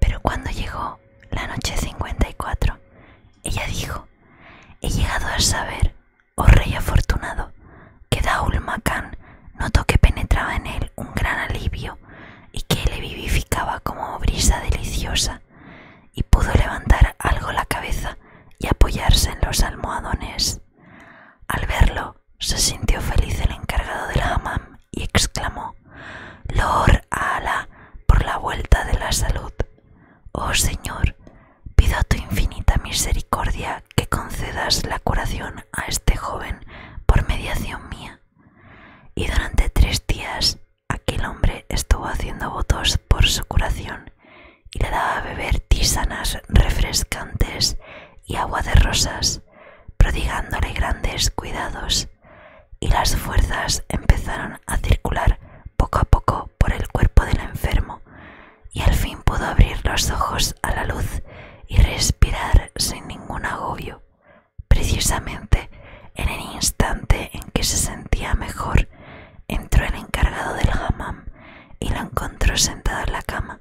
Pero cuando llegó la noche 54, ella dijo, he llegado a saber, oh rey afortunado, que Daul Makan notó que penetraba en él un gran alivio y que le vivificaba como brisa deliciosa y pudo levantar algo la cabeza y apoyarse en los almohadones. Al verlo, se sintió feliz el encargado del hammam y exclamó: Lor a Alá por la vuelta de la salud. Oh Señor, pido a tu infinita misericordia que concedas la curación a este joven por mediación mía. Y durante tres días Aquel hombre estuvo haciendo votos por su curación y le daba a beber tisanas refrescantes y agua de rosas, prodigándole grandes cuidados, y las fuerzas empezaron a circular poco a poco por el cuerpo del enfermo, y al fin pudo abrir los ojos a la luz y respirar sin ningún agobio. Precisamente en el instante en que se sentía mejor, entró el encargado del hammam y la encontró sentada en la cama,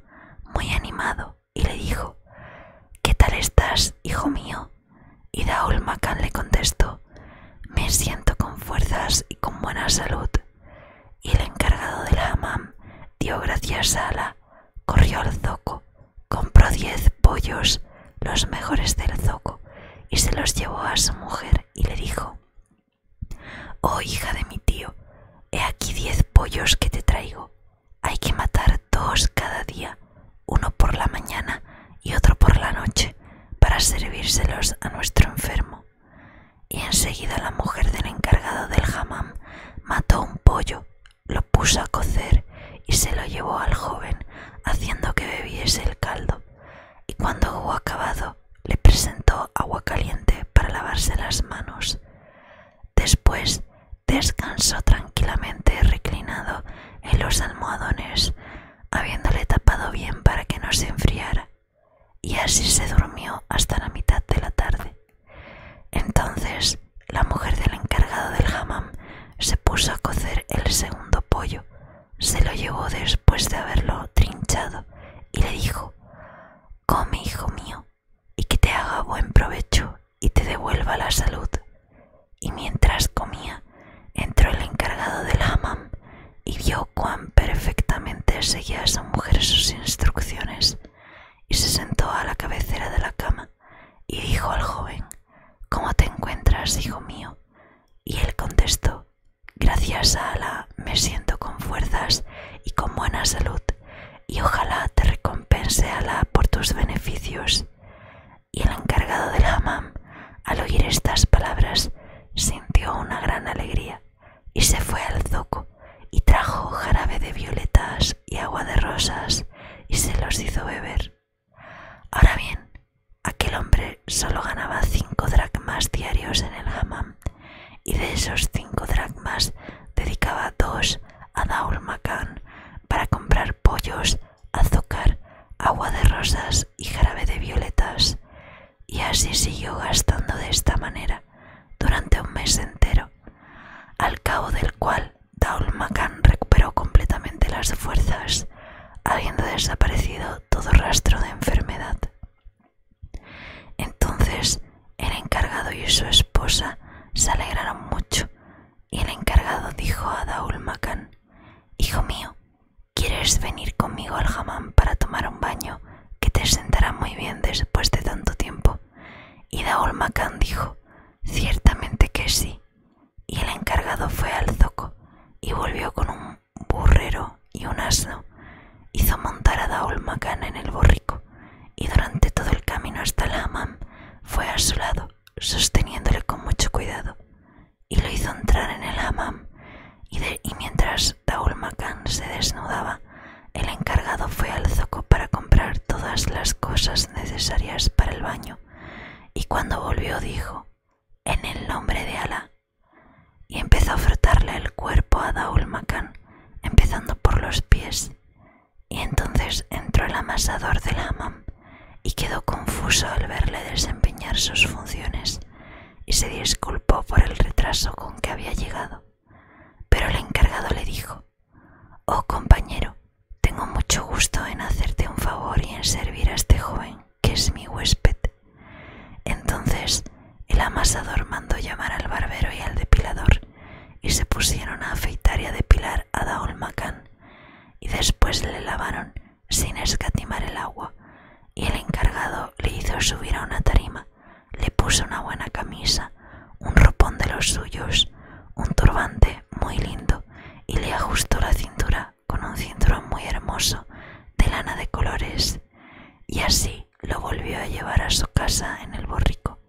muy animado, y le dijo: ¿Qué tal estás, hijo mío? Y Daul Makan le contestó: Me siento con fuerzas y con buena salud. Y el encargado del hammam dio gracias a la corrió al zoco Compró diez pollos, los mejores del zoco, y se los llevó a su mujer y le dijo, Oh hija de mi tío, he aquí diez pollos que te traigo. Hay que matar dos cada día, uno por la mañana y otro por la noche, para servírselos a nuestro enfermo. Y enseguida la mujer del encargado del hammam mató un pollo lo puso a cocer y se lo llevó al joven, haciendo que bebiese el caldo, y cuando hubo acabado, le presentó agua caliente para lavarse las manos. Después descansó tranquilamente reclinado en los almohadones, habiéndole tapado bien para que no se enfriara, y así se durmió hasta la mitad de la tarde. Entonces la mujer del encargado del hammam se puso a cocer el segundo pollo, se lo llevó después de haberlo trinchado y le dijo, Come, hijo mío, y que te haga buen provecho y te devuelva la salud. Y mientras comía, entró el encargado del hammam y vio cuán perfectamente seguía a su mujer sus instrucciones y se sentó a la cabecera de la cama y dijo al joven, ¿Cómo te encuentras, hijo mío? Y él contestó, Gracias a Alá me siento con fuerzas y con buena salud, y ojalá te recompense Allah por tus beneficios. Y el encargado del hammam, al oír estas palabras, sintió una gran alegría, y se fue al zoco y trajo jarabe de violetas y agua de rosas y se los hizo beber. Ahora bien, aquel hombre solo ganaba cinco dracmas diarios en el hammam y de esos cinco dracmas dedicaba dos a Daul Makan para comprar pollos, azúcar, agua de rosas y jarabe de violetas. Y así siguió gastando de esta manera durante un mes entero, al cabo del cual Daul Makan recuperó completamente las fuerzas, habiendo desaparecido todo rastro de enfermedad. Entonces el encargado y su esposa se alegraron mucho, y el encargado dijo a Daul Makan, Hijo mío, ¿quieres venir conmigo al jamán para tomar un baño que te sentará muy bien después de tanto tiempo? Y Daul Makan dijo, Ciertamente que sí. Y el encargado fue al zoco y volvió con un burrero y un asno. Hizo montar a Daul en el borrico y durante todo el camino hasta el Amam, fue a su lado, sosteniéndole con mucho cuidado. Y lo hizo entrar en el Amam. y, mientras Daul se desnudaba, el encargado fue al zoco para comprar todas las cosas necesarias para el baño y cuando volvió dijo, en el nombre de Alá, y empezó a frotarle el cuerpo a Daul Makan, empezando por los pies, y entonces entró el amasador del hamam y quedó confuso al verle desempeñar sus funciones y se disculpó por el retraso con que había llegado. Pero el encargado le dijo, Oh compañero, tengo mucho gusto en hacerte un favor y en servir a este joven, que es mi huésped. Entonces el amasador mandó llamar al barbero y al depilador, y se pusieron a afeitar y a depilar a Daul y después le lavaron sin escatimar el agua, y el encargado le hizo subir a una tarima le puso una buena camisa, un ropón de los suyos, un turbante muy lindo y le ajustó la cintura con un cinturón muy hermoso de lana de colores y así lo volvió a llevar a su casa en el borrico.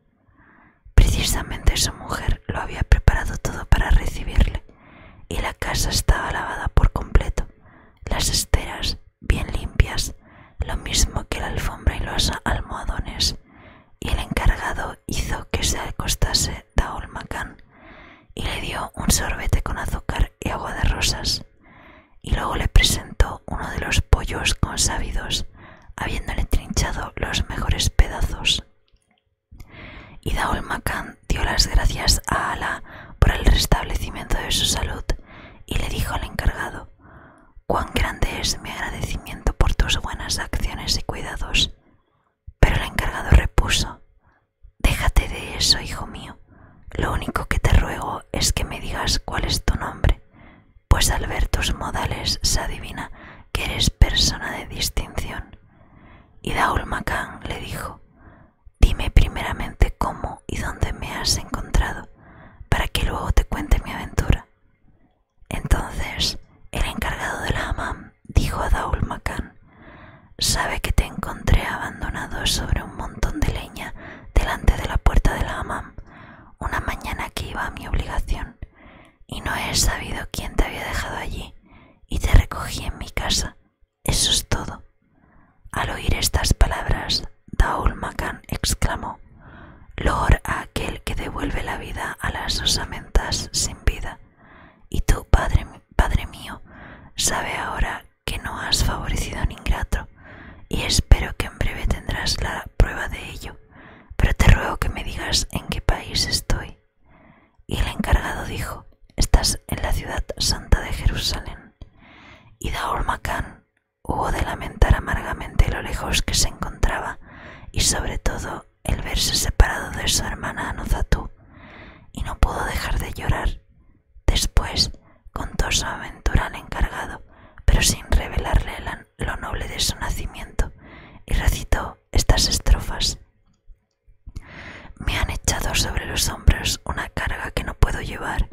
Precisamente su mujer lo había preparado todo para recibirle y la casa estaba lavada por completo, las esteras bien limpias, lo mismo que la alfombra y los almohadones y el encargado hizo que se acostase Daol Makan y le dio un sorbete con azúcar y agua de rosas, y luego le presentó uno de los pollos consábidos, habiéndole trinchado los mejores pedazos. Y Daul Makan dio las gracias a Ala por el restablecimiento de su salud y le dijo al encargado cuán grande es mi agradecimiento por tus buenas acciones y cuidados. Pero el encargado repuso, Déjate de eso, hijo mío. Lo único que te ruego es que me digas cuál es tu nombre, pues al ver tus modales se adivina que eres persona de distinción. Y Daul Macán le dijo, Dime primeramente cómo y dónde me has encontrado, para que luego te cuente mi aventura. Entonces el encargado de la hammam dijo a Daul Makan: Sabe que te encontré abandonado sobre un montón de leña delante de la puerta de la hammam una mañana que iba a mi obligación, y no he sabido quién te había dejado allí, y te recogí en mi casa. Eso es todo. Al oír estas palabras, Daul Makan exclamó: Lor a aquel que devuelve la vida a las osamentas sin vida. Y tú, padre, mío, sabe ahora que no has favorecido a un ingrato, y espero que en breve tendrás la prueba de ello. Pero te ruego que me digas en qué país estoy. Y el encargado dijo: Estás en la ciudad santa de Jerusalén. Y Daul Hubo de lamentar amargamente lo lejos que se encontraba y sobre todo el verse separado de su hermana Anuzatú, y no pudo dejar de llorar. Después contó su aventura al encargado, pero sin revelarle lo noble de su nacimiento, y recitó estas estrofas. Me han echado sobre los hombros una carga que no puedo llevar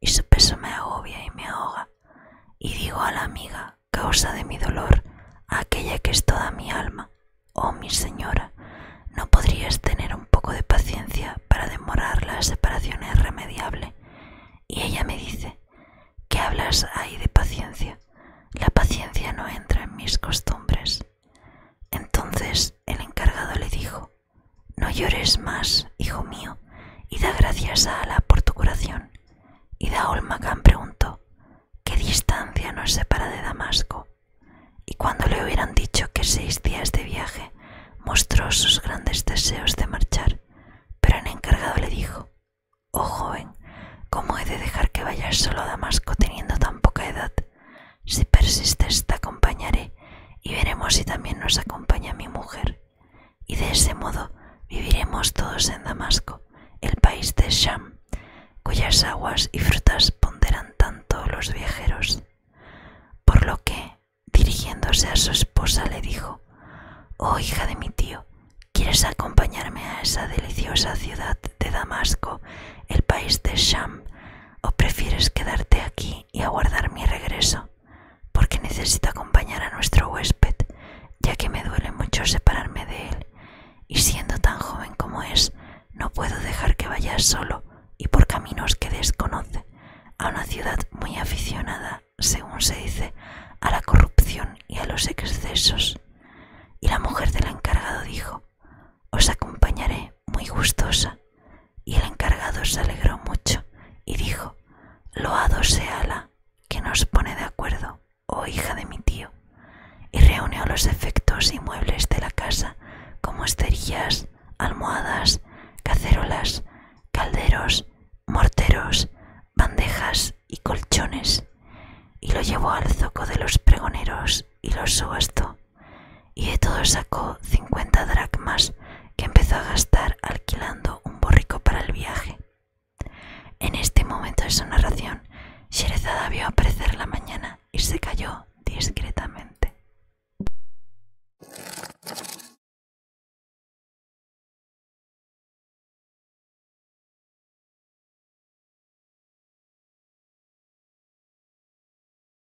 y su peso me agobia y me ahoga, y digo a la amiga, causa de mi dolor, aquella que es toda mi alma, oh mi señora, ¿no podrías tener un poco de paciencia para demorar la separación irremediable? Y ella me dice, ¿qué hablas ahí de paciencia? La paciencia no entra en mis costumbres. Entonces el encargado le dijo, no llores más, hijo mío, y da gracias a Alá por tu curación. Y Daol Makan preguntó, ¿qué distancia nos separa de Damasco? Y cuando le hubieran dicho que seis días de viaje, mostró sus grandes deseos de marchar, pero el encargado le dijo, Oh joven, ¿cómo he de dejar que vayas solo a Damasco teniendo tan poca edad? Si persistes te acompañaré y veremos si también nos acompaña mi mujer, y de ese modo viviremos todos en Damasco, el país de Sham, cuyas aguas y frutas ponderan tanto los viajeros. Por lo que, dirigiéndose a su esposa, le dijo, Oh hija de mi tío, ¿quieres acompañarme a esa deliciosa ciudad de Damasco, el país de Sham, o prefieres quedarte aquí y aguardar mi regreso? porque necesito acompañar a nuestro huésped, ya que me duele mucho separarme de él, y siendo tan joven como es, no puedo dejar que vaya solo y por caminos que desconoce, a una ciudad muy aficionada, según se dice, a la corrupción y a los excesos. Y la mujer del encargado dijo, Os acompañaré muy gustosa, y el encargado se alegró mucho y dijo, Loado sea la que nos pone de acuerdo, oh hija de mi tío, y reunió los efectos y muebles de la casa, como esterillas, almohadas, cacerolas, calderos, morteros, bandejas y colchones, y lo llevó al zoco de los pregoneros y los subastó y de todo sacó 50 dracmas que empezó a gastar alquilando un borrico para el viaje. En este momento de su narración, Sherezada vio aparecer la mañana y se cayó discretamente.